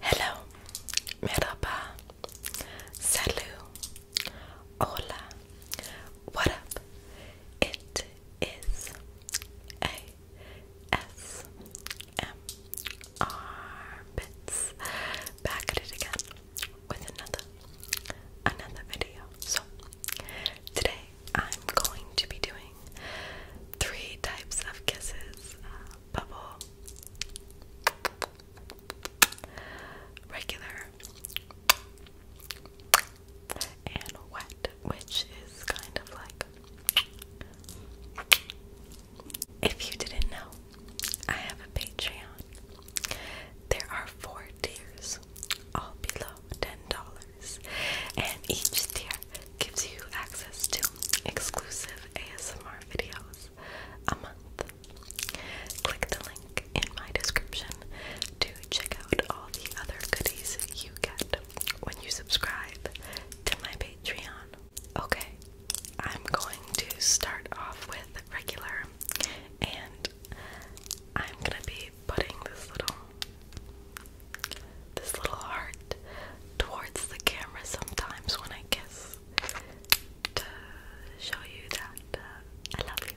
Hello, merhaba, salut, hola, what up? It is ASMR Bits back at it again with another another video. So today I'm going to be doing three types of kisses. Uh, bubble, regular, and wet, which is kind of like. If you didn't know, I have a Patreon. There are four tiers, all below $10, and each tier gives you access to exclusive ASMR videos a month. Click the link in my description to check out all the other goodies you get when you subscribe to my Patreon. Okay, I'm going to start off with regular and I'm gonna be putting this little this little heart towards the camera sometimes when I kiss to show you that uh, I love you.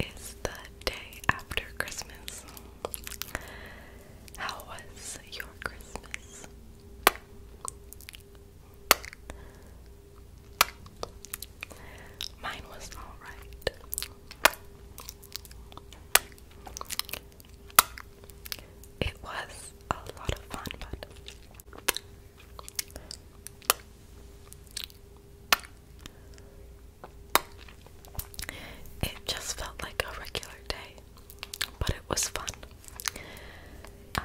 is the day after Christmas. How was your Christmas? Mine was alright. It was a lot of fun, but it just felt like a regular day, but it was fun. Um,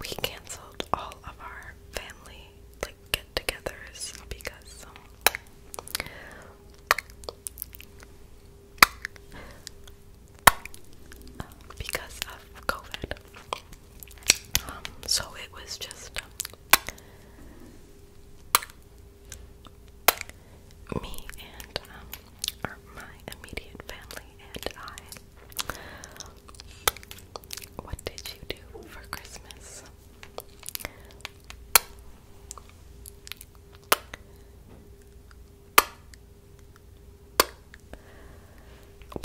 we canceled all of our family like get-togethers because um, because of COVID. Um, so it was just um, me and um, my immediate family and I. What did you do for Christmas?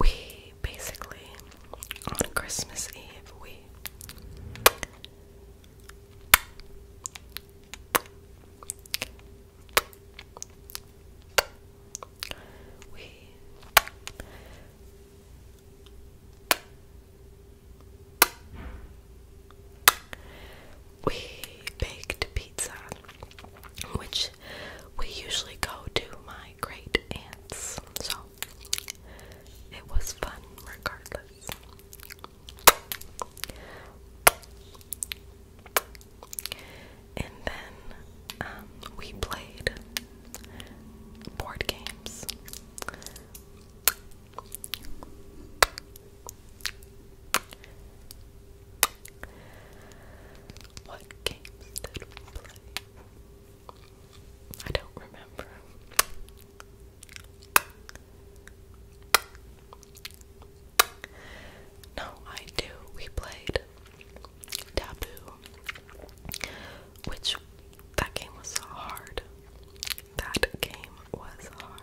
We basically on Christmas Eve we we we baked pizza, which we usually go to my great aunts. So it was fun regardless. And then um, we played board games. What games did we play? I don't remember. No, I do. We played Taboo, which that game was hard. That game was hard.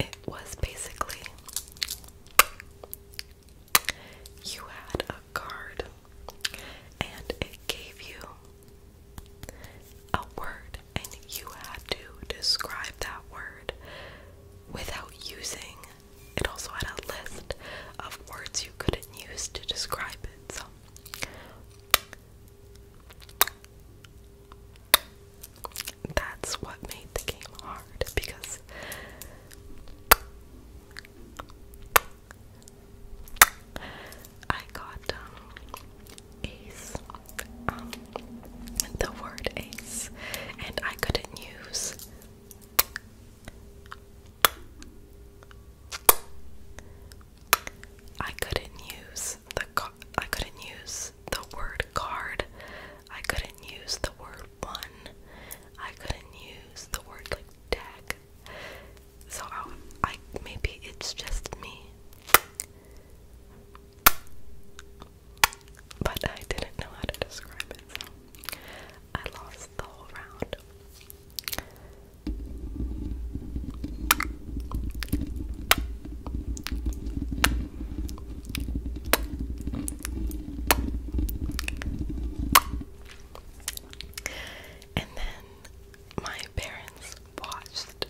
It was basically you had a card and it gave you a word, and you had to describe that word without using it. Also, had a list of words you couldn't use to describe it. So, that's what made the game hard because I got um, ace, um, the word ace, and I couldn't use I couldn't use the I couldn't use the word card. I couldn't use the word one. I couldn't use the word like deck, so i maybe it's just me. But I didn't know how to describe it, so I lost the whole round. And then my parents watched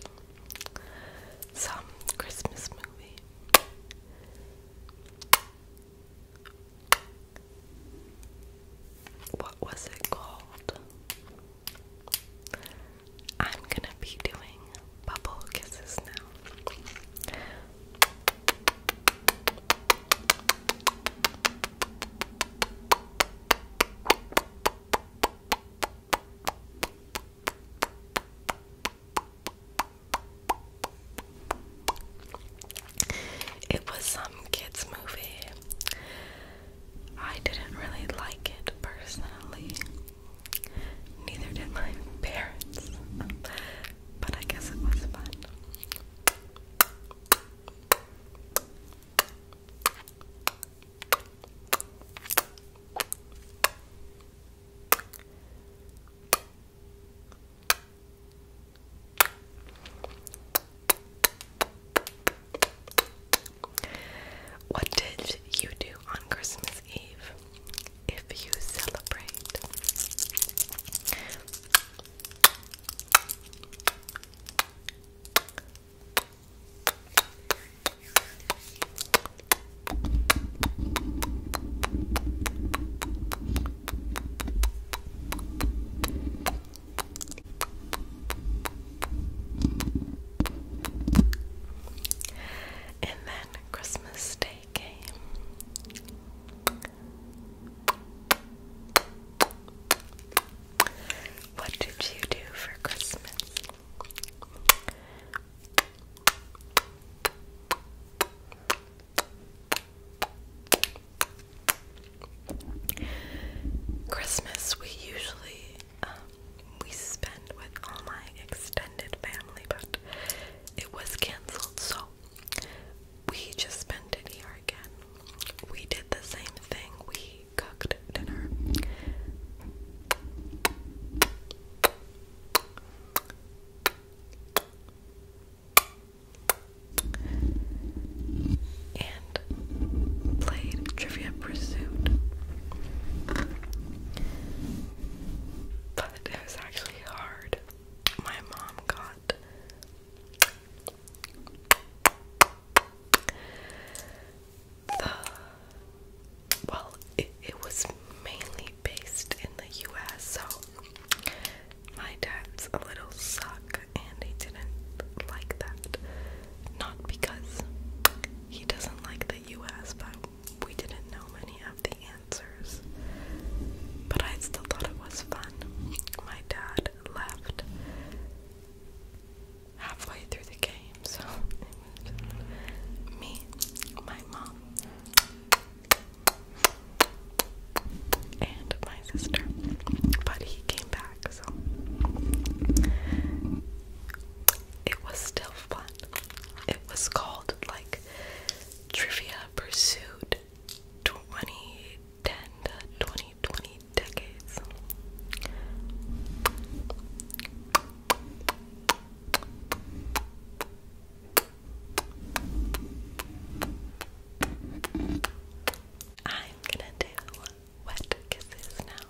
some Christmas movie. What was it called? I'm gonna be doing bubble kisses now. It was some kids' movie. I didn't really like it personally. Neither did my parents. But I guess it was fun. What did you do on Christmas Eve if you celebrate? And then Christmas Day came. What did you do for Christmas? Christmas, we usually um, we spend with all my extended family, but it was canceled, so we just spent it here again. We did the same thing. We cooked dinner. And played Trivia Pursuit. But it was actually hard. My mom got well, it, it was mainly based in the US, so my dad's a little suck, and he didn't like that. Not because he doesn't like the US, but we didn't know many of the answers. But I still thought it was fun. My dad left halfway through the game, so it was me, my mom, and my sister. But he came back, so it was still fun. It was called like Trivia Pursuit 20 10 to 20, 20 decades. I'm gonna do wet kisses now.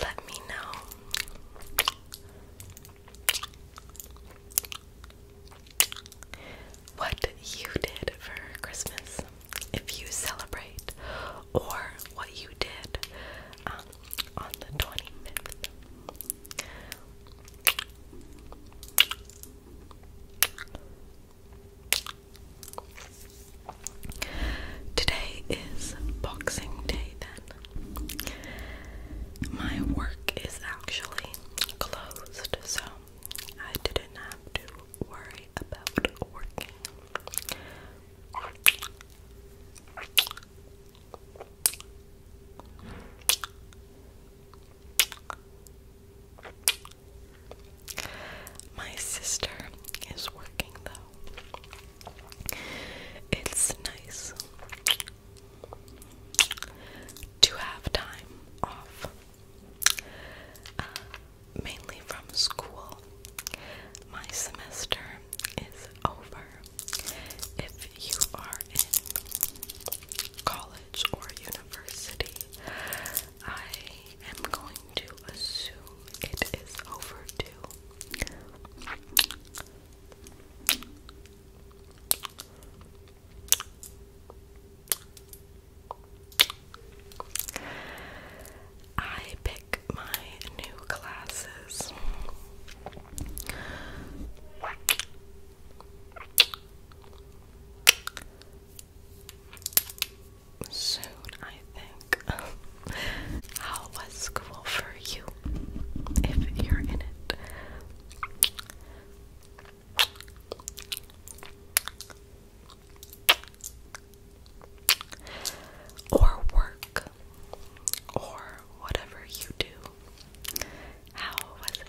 Let me know. What you did for Christmas, if you celebrate, or what you did um, on the 25th. Today is Boxing Day, then. My work is actually closed, so I didn't have to worry about working. My sister is working though. It's nice to have time off, uh, mainly from school. My semester is over. If you are in college or university, I am going to assume it is over I pick my new classes. Soon, I think. How was school for you? If you're in it or work or whatever you do. How was it?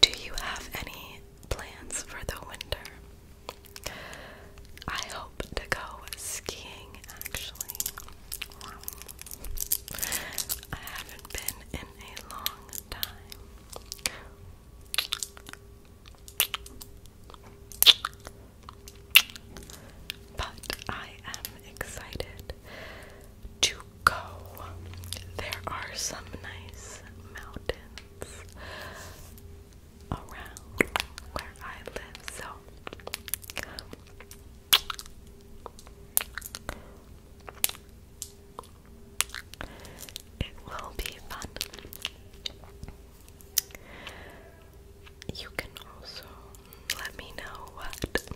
Do you have any plans for the winter? I hope to go skiing actually. I haven't been in a long time. But I am excited to go. There are some nice mountains around where I live, so it will be fun. You can also let me know what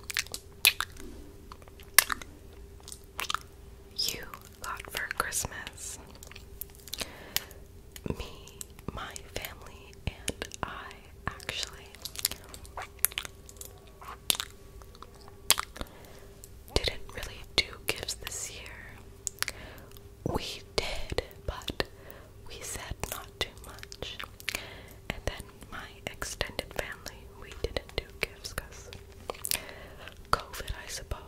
you got for Christmas. Me, my family, and I actually didn't really do gifts this year. We did, but we said not too much. And then my extended family, we didn't do gifts because COVID, I suppose.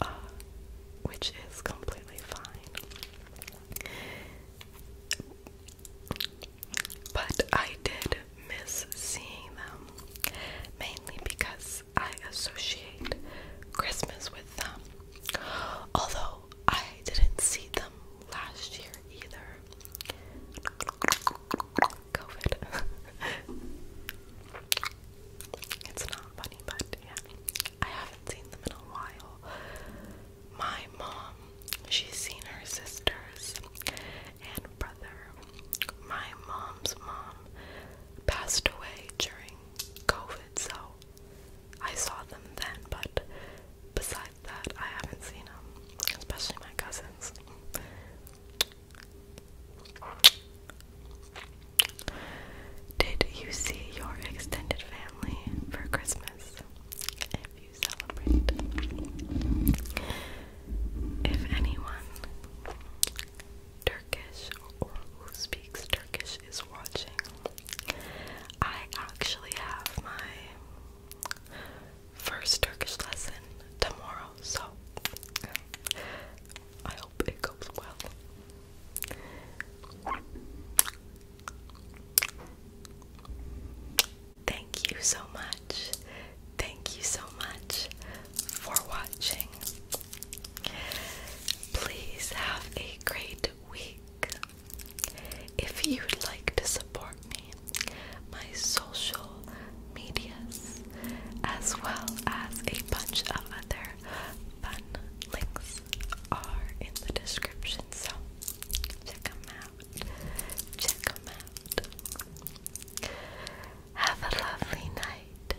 Uh, which is completely fine. But I did miss seeing them mainly because I associate Christmas with them. Although I didn't see them last year either. COVID. it's not funny, but yeah. I haven't seen them in a while. My mom, she's seen her sisters and brother my mom's mom passed away during COVID, so I saw them then, but besides that, I haven't seen them, especially my cousins. Did you see your extended family for Christmas? If you celebrate, if anyone Turkish or who speaks Turkish is watching. I actually have my first Turkish lesson tomorrow, so I hope it goes well. Thank you so much. Thank you so much for watching. Please have a great week. If you'd like to support me, my social medias, as well as a bunch of other fun links, are in the description. So check them out. Check them out. Have a lovely night.